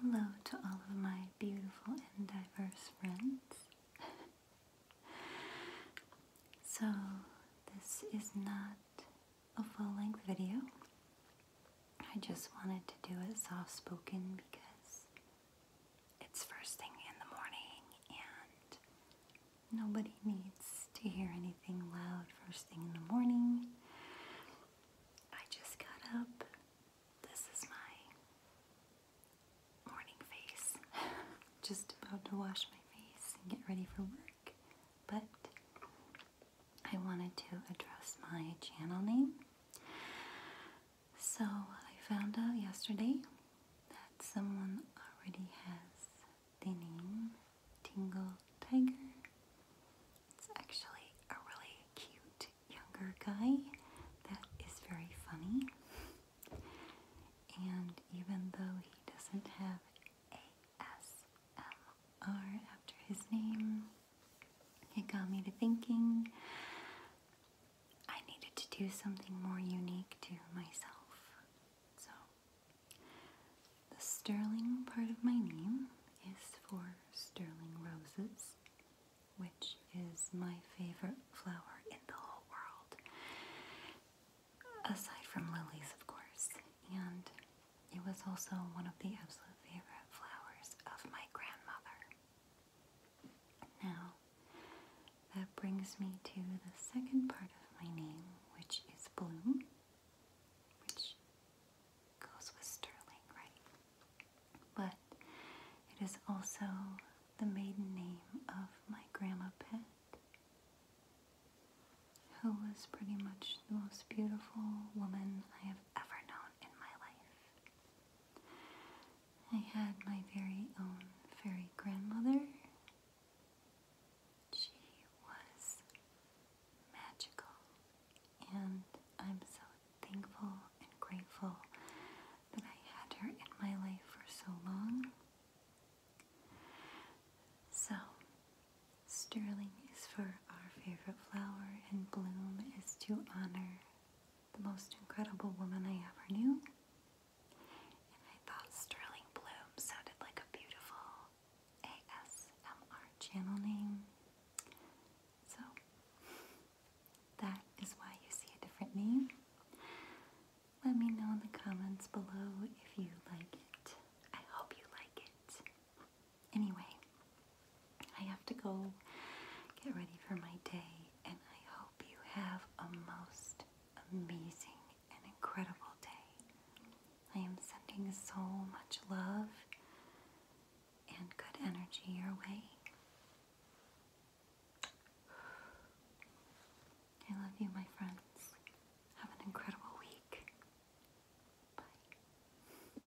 Hello to all of my beautiful and diverse friends. so, this is not a full length video. I just wanted to do it soft spoken because it's first thing in the morning and nobody needs to hear anything loud first thing in the morning. I just got up. This is my morning face. just about to wash my face and get ready for work. But I wanted to address my channel name. So I found out yesterday that someone already has the name Tingle Tiger. It's actually a really cute younger guy that is very funny. And even though he doesn't have ASMR after his name, it got me to thinking I needed to do something more unique to myself. So the sterling part of my name is for sterling roses, which is my favorite flower in the whole world. Aside from lilies, of course, and it was also one of the absolute favorite flowers of my grandmother. Now, that brings me to the second part of my name, which is Bloom, which goes with Sterling, right? But it is also the maiden name of my grandma Pet, who was pretty much the most beautiful woman I have ever known in my life. I had my very own fairy grandmother. She was magical, and I'm so thankful and grateful that I had her in my life for so long. So, sterling is for our favorite flower, and bloom is to honor the most incredible woman I ever knew. And I thought Sterling Bloom sounded like a beautiful ASMR channel name. So that is why you see a different name. Let me know in the comments below if you like it. I hope you like it. Anyway, I have to go get ready for my day, and I hope you have a most amazing and incredible day. I am sending so much love and good energy your way. I love you, my friends. Have an incredible week. Bye.